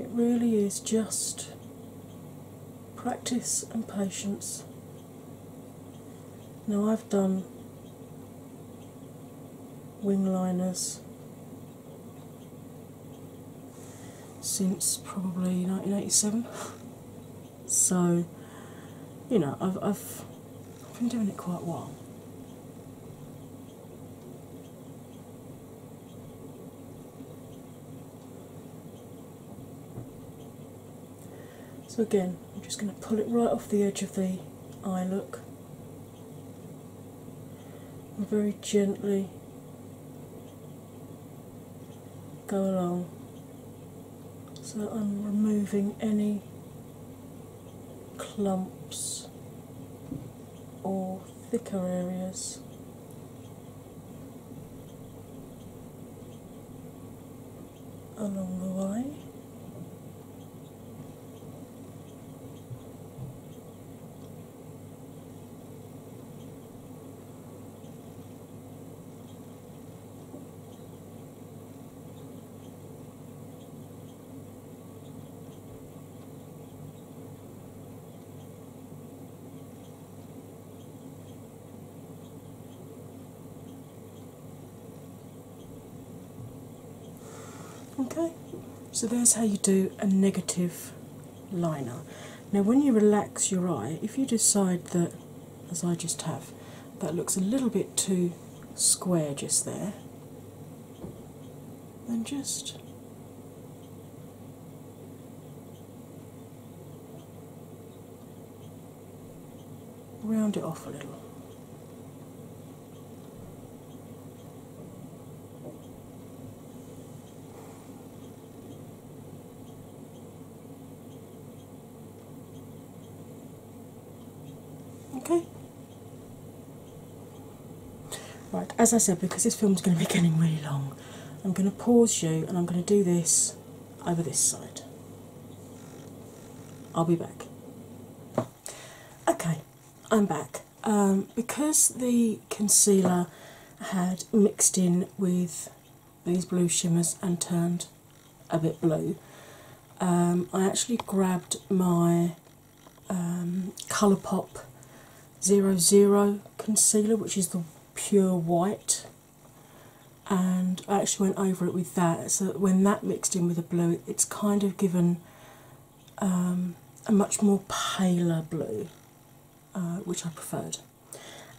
It really is just practice and patience. Now, I've done wing liners since probably 1987. So, you know, I've, I've been doing it quite a while. So again, I'm just going to pull it right off the edge of the eye look. very gently go along. So I'm removing any clumps or thicker areas. along the way. Okay, so there's how you do a negative liner. Now, when you relax your eye, if you decide that, as I just have, that looks a little bit too square just there, then just round it off a little. Okay. Right, as I said, because this film is going to be getting really long, I'm going to pause you and I'm going to do this over this side. I'll be back. Okay, I'm back. Um, because the concealer had mixed in with these blue shimmers and turned a bit blue. Um, I actually grabbed my um, ColourPop 00 concealer, which is the pure white, and I actually went over it with that. So when that mixed in with the blue, it's kind of given um, a much more paler blue, uh, which I preferred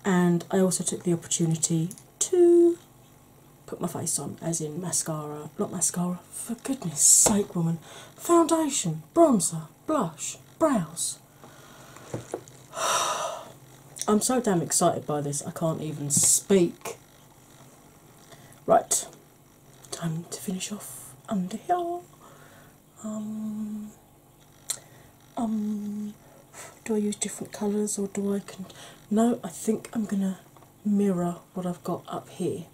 and I also took the opportunity to put my face on, as in mascara, not mascara, for goodness sake, woman, foundation, bronzer, blush, brows. I'm so damn excited by this, I can't even speak. Right, time to finish off under here um, um, do I use different colours or do I can? No, I think I'm gonna mirror what I've got up here.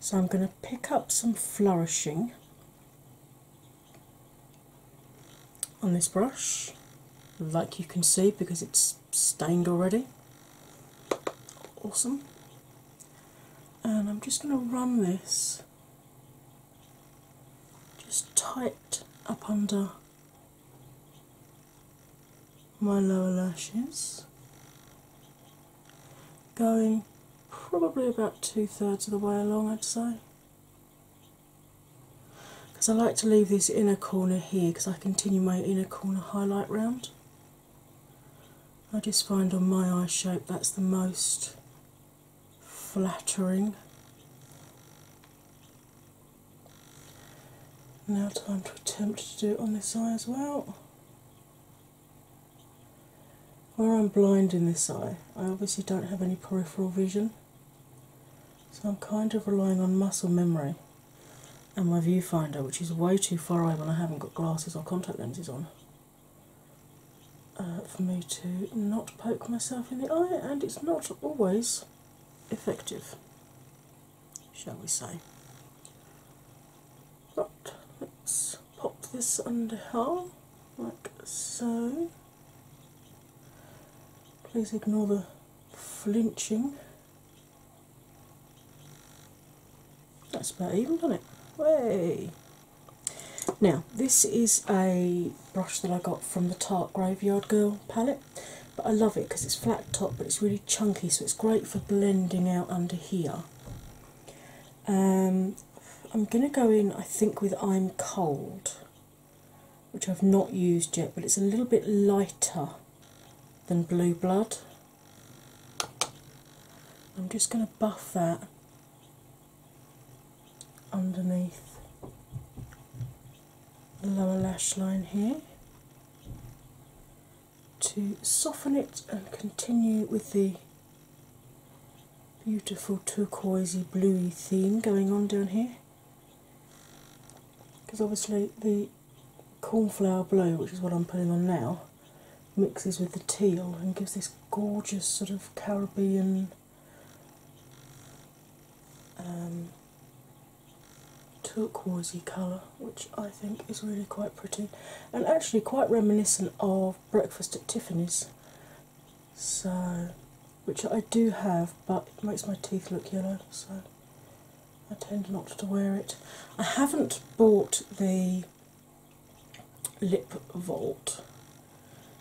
So I'm gonna pick up some flourishing on this brush, like you can see because it's stained already. Awesome. And I'm just going to run this just tight up under my lower lashes, going probably about two thirds of the way along, I'd say. Because I like to leave this inner corner here because I continue my inner corner highlight round. I just find on my eye shape that's the most flattering. Now, time to attempt to do it on this eye as well. Where I'm blind in this eye, I obviously don't have any peripheral vision, so I'm kind of relying on muscle memory and my viewfinder, which is way too far away when I haven't got glasses or contact lenses on. Uh, for me to not poke myself in the eye, and it's not always effective, shall we say. But let's pop this under here, like so. Please ignore the flinching. That's about even, doesn't it? Way. Now, this is a brush that I got from the Tart Graveyard Girl palette, but I love it because it's flat top but it's really chunky, so it's great for blending out under here. Um, I'm going to go in, I think, with I'm Cold, which I've not used yet, but it's a little bit lighter than Blue Blood. I'm just going to buff that underneath the lower lash line here to soften it and continue with the beautiful turquoisey bluey theme going on down here because obviously the cornflower blue which is what I'm putting on now mixes with the teal and gives this gorgeous sort of Caribbean um, turquoisey colour, which I think is really quite pretty and actually quite reminiscent of Breakfast at Tiffany's. So, which I do have, but it makes my teeth look yellow, so I tend not to wear it. I haven't bought the Lip Vault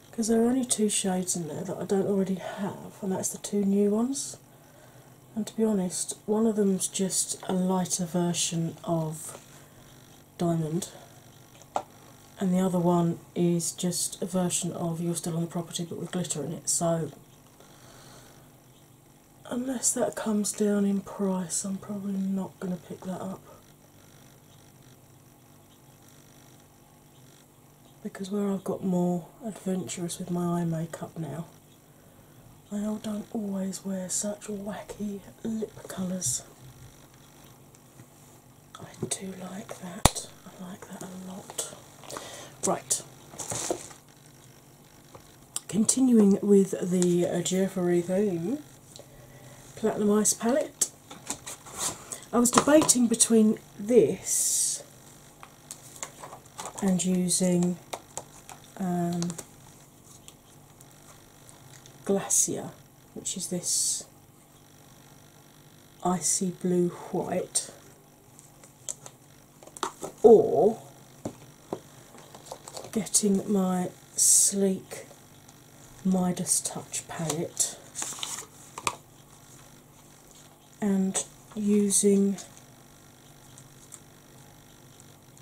because there are only two shades in there that I don't already have, and that's the two new ones. And to be honest, one of them's just a lighter version of Diamond, and the other one is just a version of You're Still on the Property but with glitter in it. So, unless that comes down in price, I'm probably not going to pick that up. Because where I've got more adventurous with my eye makeup now, I don't always wear such wacky lip colours. I do like that. I like that a lot. Right. Continuing with the uh, Jeffrey theme, Platinum Ice Palette I was debating between this and using um, Glacier, which is this icy blue white, or getting my sleek Midas Touch palette and using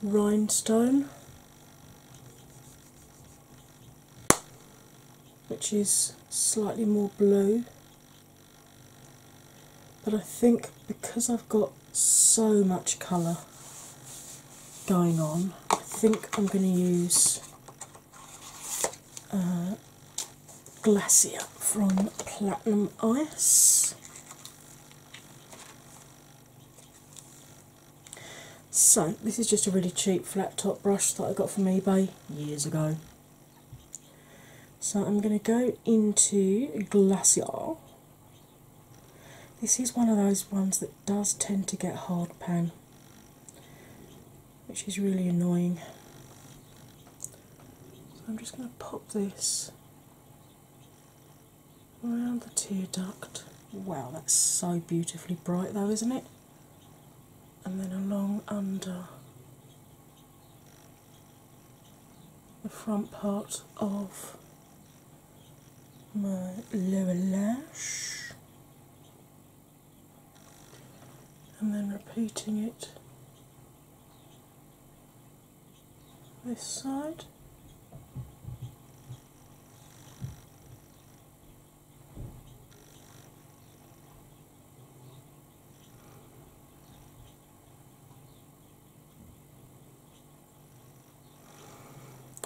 Rhinestone, which is slightly more blue. But I think because I've got so much colour going on, I think I'm going to use uh, Glacier from Platinum Ice. So, this is just a really cheap flat top brush that I got from eBay years ago. So, I'm going to go into Glacier. This is one of those ones that does tend to get hard pan which is really annoying. I'm just going to pop this around the tear duct. Wow, that's so beautifully bright, though, isn't it? And then along under the front part of my lower lash and then repeating it this side.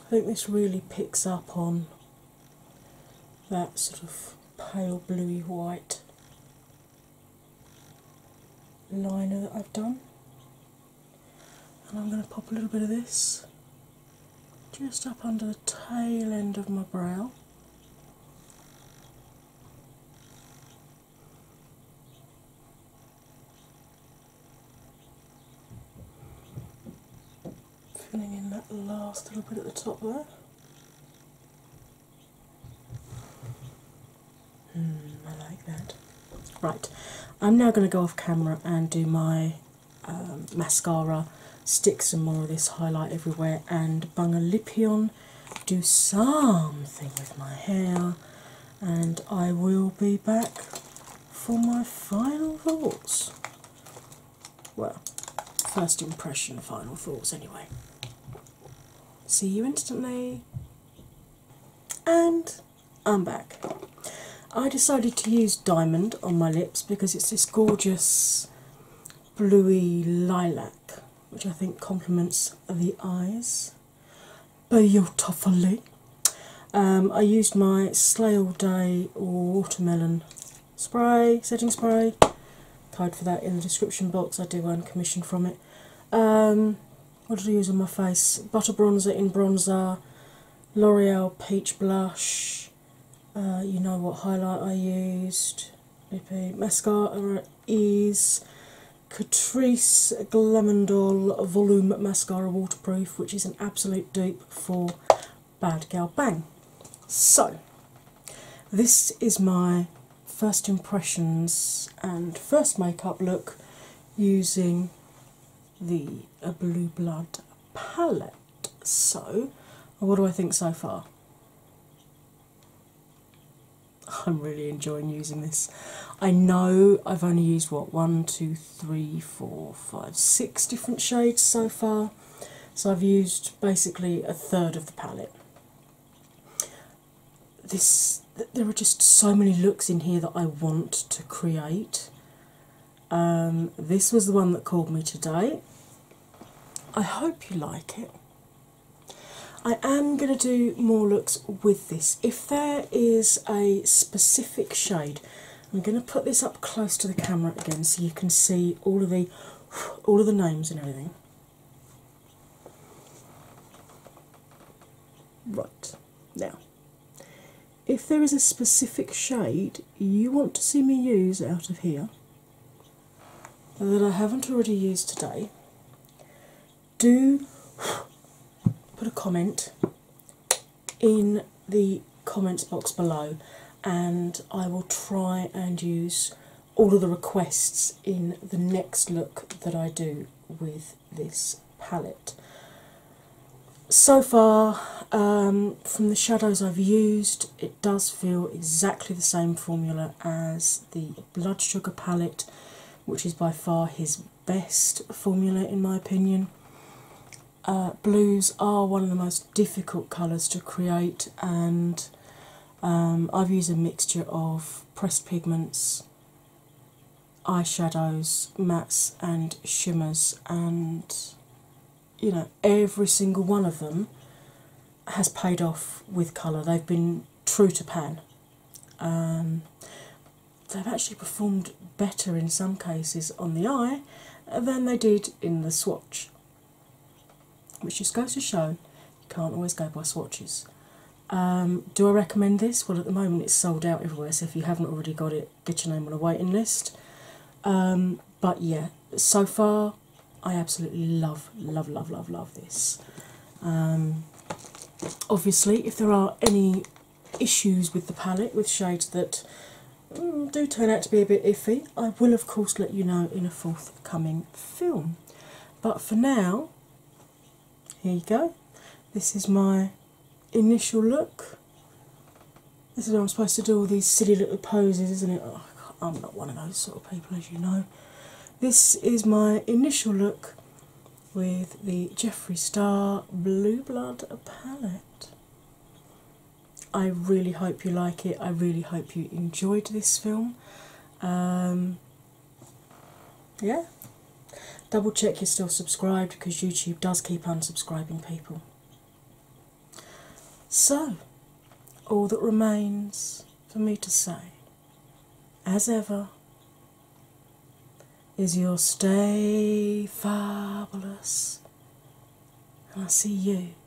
I think this really picks up on that sort of pale bluey white liner that I've done. And I'm going to pop a little bit of this just up under the tail end of my brow filling in that last little bit at the top there. Mm, I like that. Right, I'm now going to go off camera and do my um, mascara, stick some more of this highlight everywhere, and bung a lippy on, do something with my hair, and I will be back for my final thoughts well, first impression, final thoughts anyway. See you instantly. And I'm back. I decided to use Diamond on my lips because it's this gorgeous bluey lilac, which I think complements the eyes beautifully. Um, I used my Slay All Day Watermelon spray, setting spray. Code for that in the description box. I do earn commission from it. Um, what did I use on my face? Butter bronzer in bronzer, L'Oreal peach blush. Uh, you know what highlight I used. BP mascara is Catrice Glamandol Volume Mascara Waterproof, which is an absolute dupe for Bad Girl Bang. So, this is my first impressions and first makeup look using the Blue Blood palette. So, what do I think so far? I'm really enjoying using this. I know I've only used what one, two, three, four, five, six different shades so far. So I've used basically a third of the palette. This, there are just so many looks in here that I want to create. Um, this was the one that called me today. I hope you like it. I am going to do more looks with this. If there is a specific shade, I'm going to put this up close to the camera again so you can see all of the all of the names and everything. Right now, if there is a specific shade you want to see me use out of here that I haven't already used today, do put a comment in the comments box below and I will try and use all of the requests in the next look that I do with this palette. So far, um, from the shadows I've used, it does feel exactly the same formula as the Blood Sugar palette, which is by far his best formula in my opinion. Uh, blues are one of the most difficult colours to create, and um, I've used a mixture of pressed pigments, eyeshadows, mattes, and shimmers, and you know, every single one of them has paid off with colour. They've been true to pan. Um, they've actually performed better in some cases on the eye than they did in the swatch which just goes to show you can't always go by swatches. Um, do I recommend this? Well, at the moment it's sold out everywhere, so if you haven't already got it, get your name on a waiting list. Um, but yeah, so far I absolutely love, love, love, love, love this. Um, obviously, if there are any issues with the palette, with shades that Mm, do turn out to be a bit iffy, I will of course let you know in a forthcoming film. But for now, here you go. This is my initial look. This is what I'm supposed to do all these silly little poses, isn't it? Oh, I'm not one of those sort of people, as you know. This is my initial look with the Jeffree Star Blue Blood palette. I really hope you like it. I really hope you enjoyed this film. Um, yeah, double check you're still subscribed because YouTube does keep unsubscribing people. So, all that remains for me to say, as ever, is you'll stay fabulous, and I see you